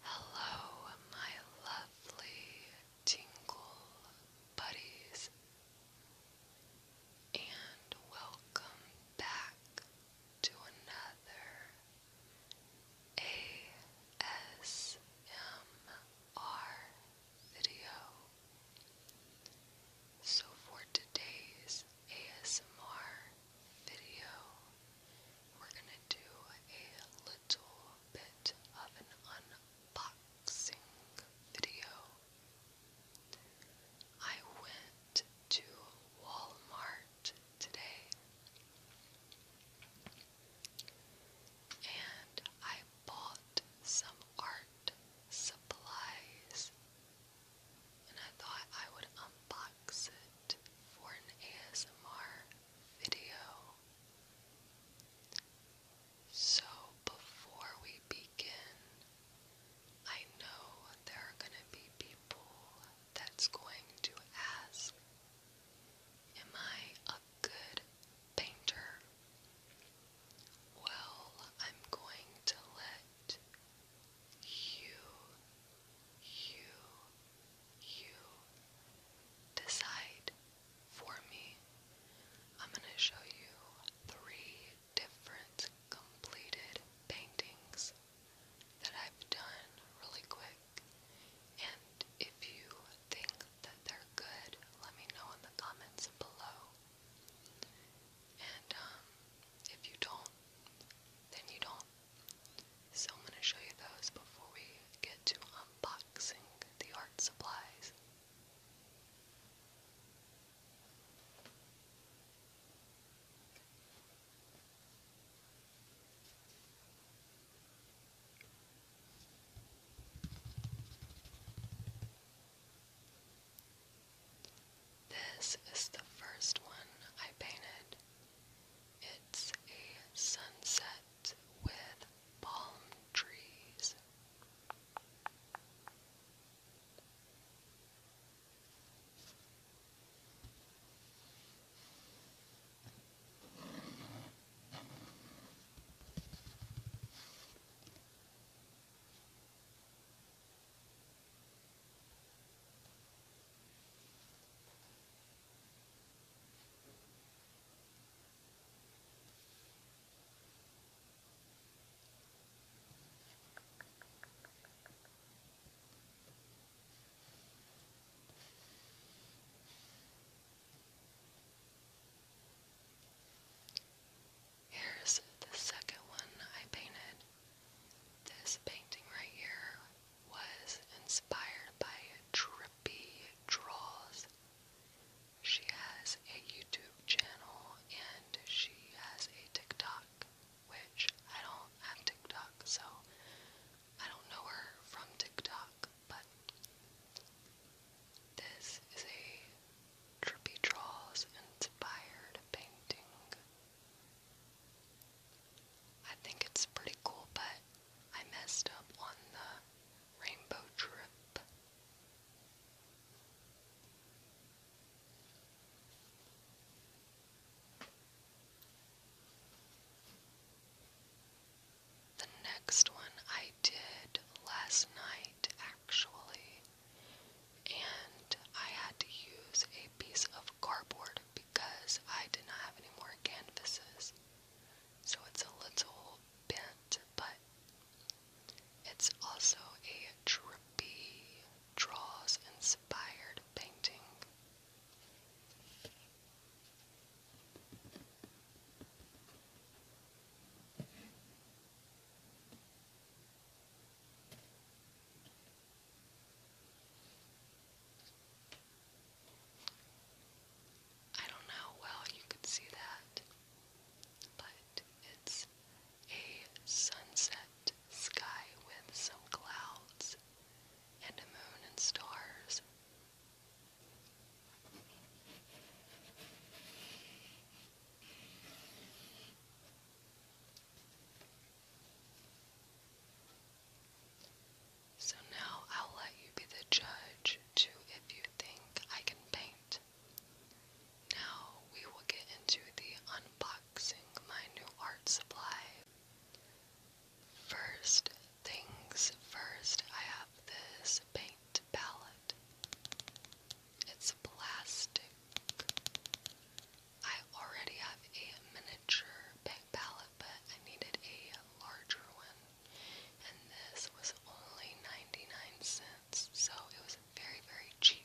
Hello, my lovely tingle buddies, and welcome back to another ASMR video. So, for today's ASMR video, we're going to do a little bit of an unboxing video. I went to Walmart today and I bought some art supplies and I thought I would unbox it for an ASMR video. So, before we begin, I know there are going to be people that's going to ask, Am I a good painter? Well, I'm going to let you, you, you decide for me. I'm going to show you three different completed paintings that I've done really quick. And if you think that they're good, let me know in the comments below. And um, if you don't, then you don't. So I'm going to show you those before we get to unboxing the art supplies. This is the first one I painted. It's a sunset with palm trees. Here's the second one I painted. This painting right here was inspired by trippy draws. She has a YouTube channel and she has a TikTok, which I don't have TikTok, so I don't know her from TikTok, but this is a trippy draws inspired painting I think it's pretty cool, but I messed up on the rainbow trip. The next one I did last night, actually, and I had to use piece of cardboard because I did not have any more canvases. So it's a little bent, but it's also a trippy draws inspired painting. I don't know how well you could see that, but it's a sunset sky with some clouds and a moon and stars. So now I'll let you be the judge too. if you think I can paint. Now we will get into the unboxing my new art supply. First things first, I have this paint palette. It's plastic. I already have a miniature paint palette, but I needed a larger one, and this was only 99 cents, so it was very, very cheap.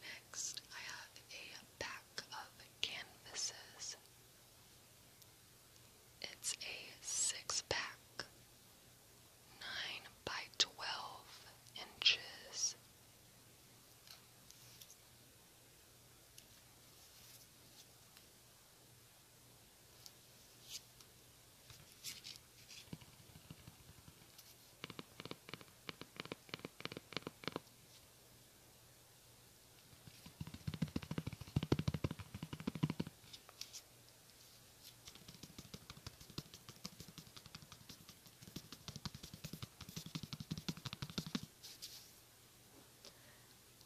Next, I have a pack of canvases. It's a six pack, nine by twelve inches.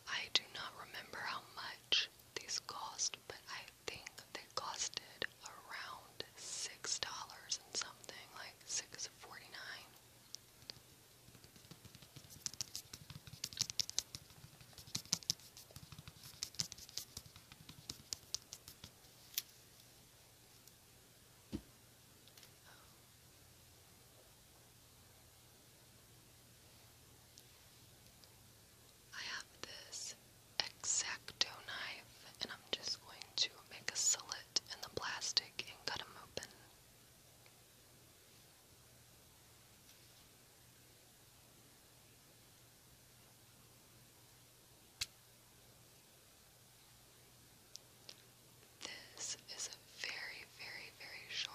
I do not remember how much these cost, but I think they costed around six dollars and something, like six forty nine. Oh. I have this Exacto knife, and I'm just going to make a slit in the plastic and cut them open. This is a very, very, very sharp.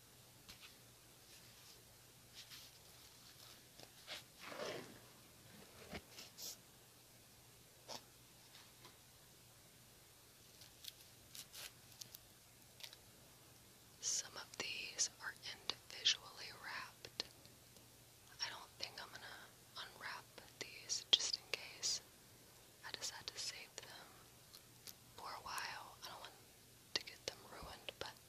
Some of these are individually wrapped. I don't think I'm going to unwrap these just in case. I decided to save them for a while. I don't want to get them ruined, but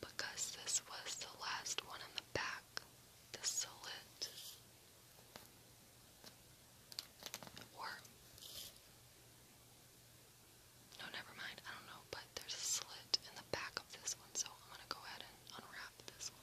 Because this was the last one in the back, the silhouette, or no, never mind. I don't know, but there's a slit in the back of this one, so I'm gonna go ahead and unwrap this one.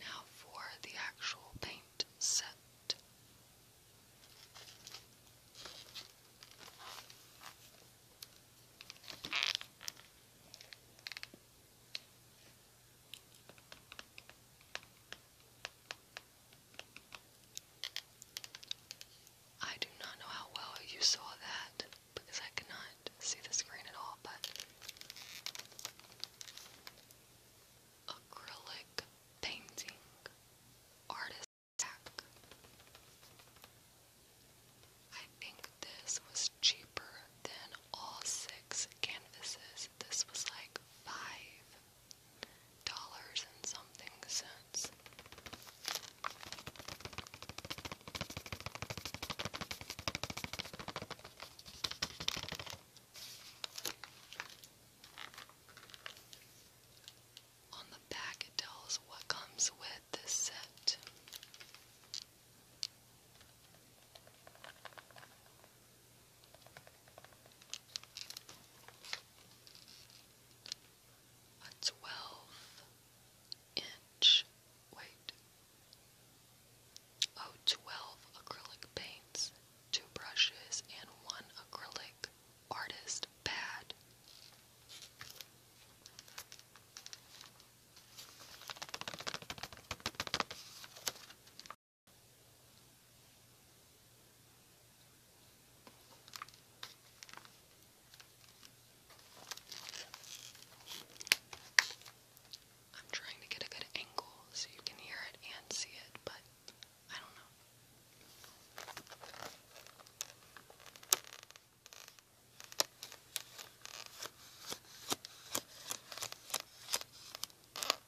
Now for the actual paint set. I do not know how well you saw that because I could see the screen at all, but acrylic painting artist pack. I think this was cheaper than all six canvases. This was like five dollars and something cents. On the back, it tells what comes with this set a 12 inch, wait, oh, acrylic paints, two brushes, and one acrylic artist pad. I'm trying to get a good angle so you can hear it and see it, but I don't know.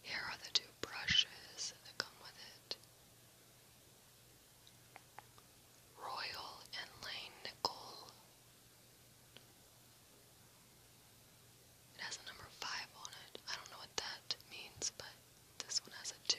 Here are the two brushes that come with it. Royal and Lane Nickel. It has a number 5 on it. I don't know what that means, but this one has a 2.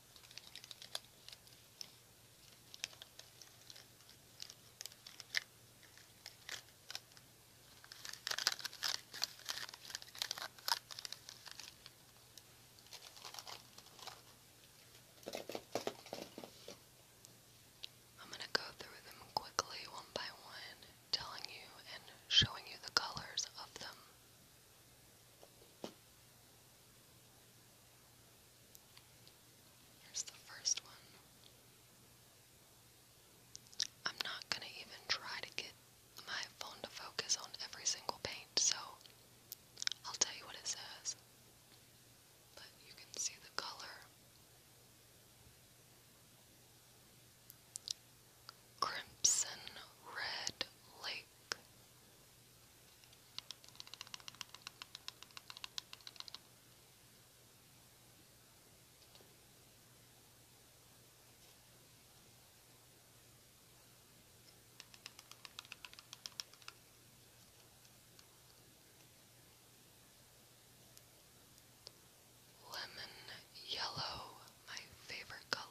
I'm going to go through them quickly one by one, telling you and showing you the colors of them. Here's the first one. I'm not going to even try to get my phone to focus on every single paint, so I'll tell you what it says. But you can see the color. Crimson Red Lake. Lemon yellow, my favorite color.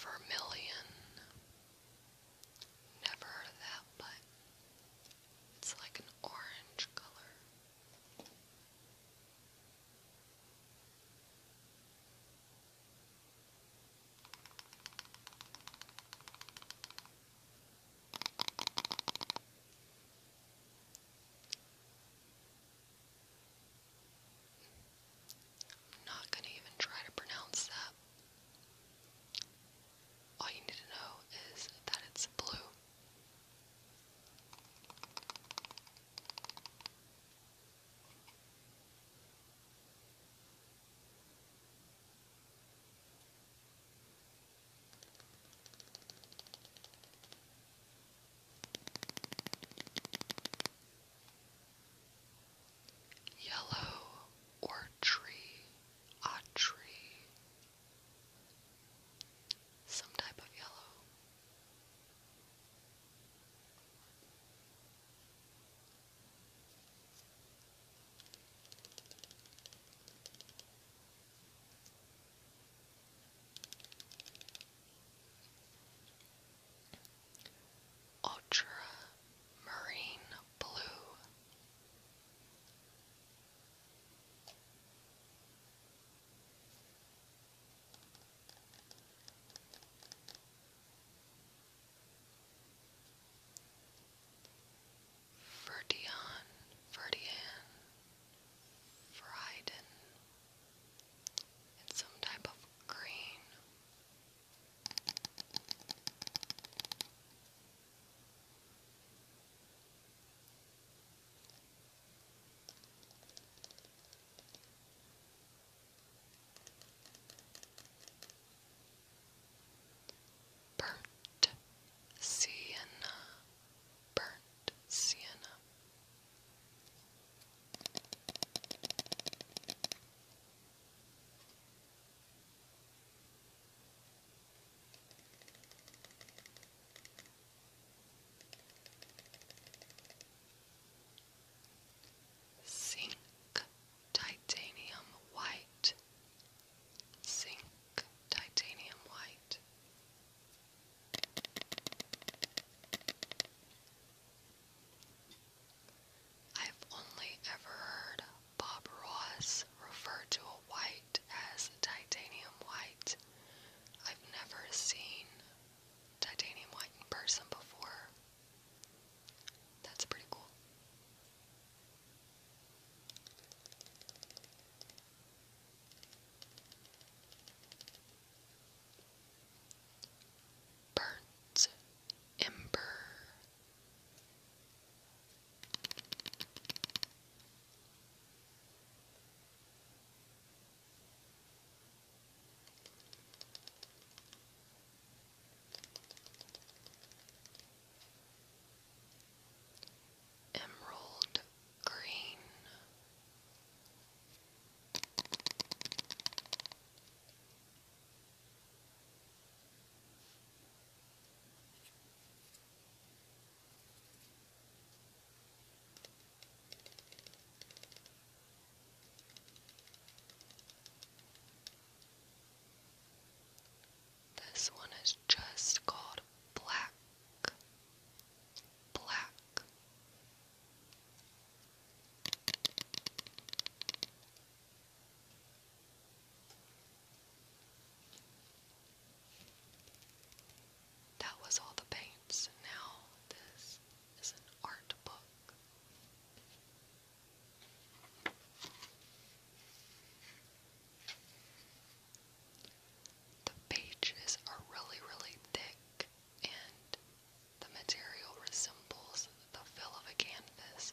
Vermilion. Never that, but it's like an orange color. I'm not going to even try to pronounce that. All you need to know is that it's blue. Yellow or tree, a tree, some type of yellow. Ultra Marine Blue. Verdion, Verdian, Frieden, and some type of green. Burnt sienna, burnt sienna zinc titanium white, zinc titanium white. I've only ever heard Bob Ross refer to white as titanium white. I've never seen titanium white in person before. That's pretty cool. Burnt Ember. Emerald green. This one is just called black, black. That was all the paints. Now, this is an art book. The pages are really, really thick, and the material resembles the fill of a canvas.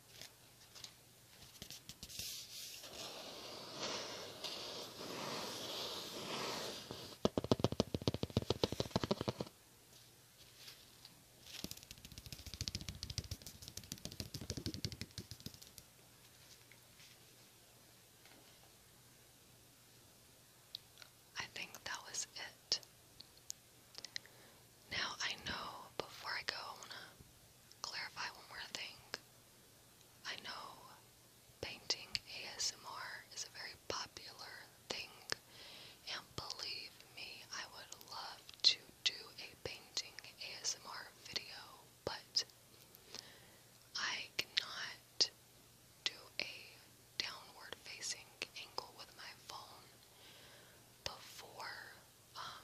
I think that was it. Now I know before I go, I want to clarify one more thing. I know painting ASMR is a very popular thing, and believe me, I would love to do a painting ASMR video, but I cannot do a downward facing angle with my phone before um,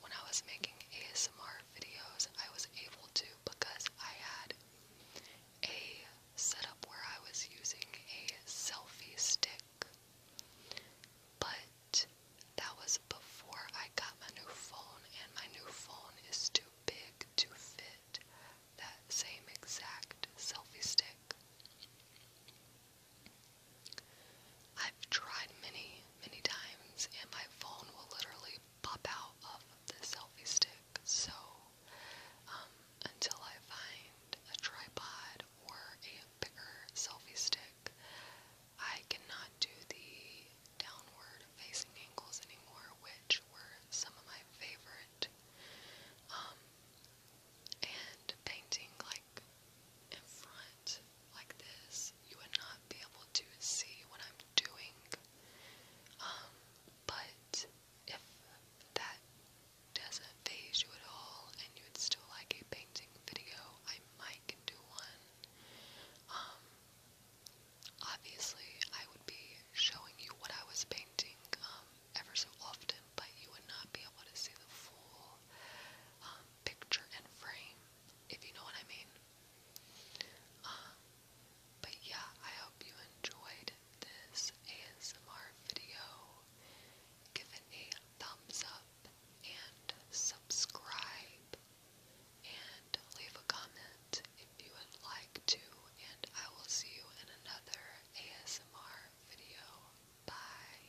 when I was making ASMR videos, I was able to because I had a setup where I was using a selfie stick. But that was before I got my new phone, and my new phone is too big to fit that same exact selfie stick. I've tried many, many times, and my phone will literally pop out of the selfie stick. So, um, until I find a tripod or a bigger selfie stick, I cannot do the downward facing angles anymore, which were some of my favorite. Um, and painting like in front like this, you would not be able to see what I'm doing. Um, but if that doesn't phase you at all and you would still like a painting video, I might can do one. Um, obviously I would be showing you what I was painting, um, ever so often, but you would not be able to see the full, um, picture and frame if you know what I mean. Um, but yeah, I hope you enjoyed this ASMR video. Give it a thumbs up and subscribe and leave a comment if you would like to and I will see you in another ASMR video. Bye.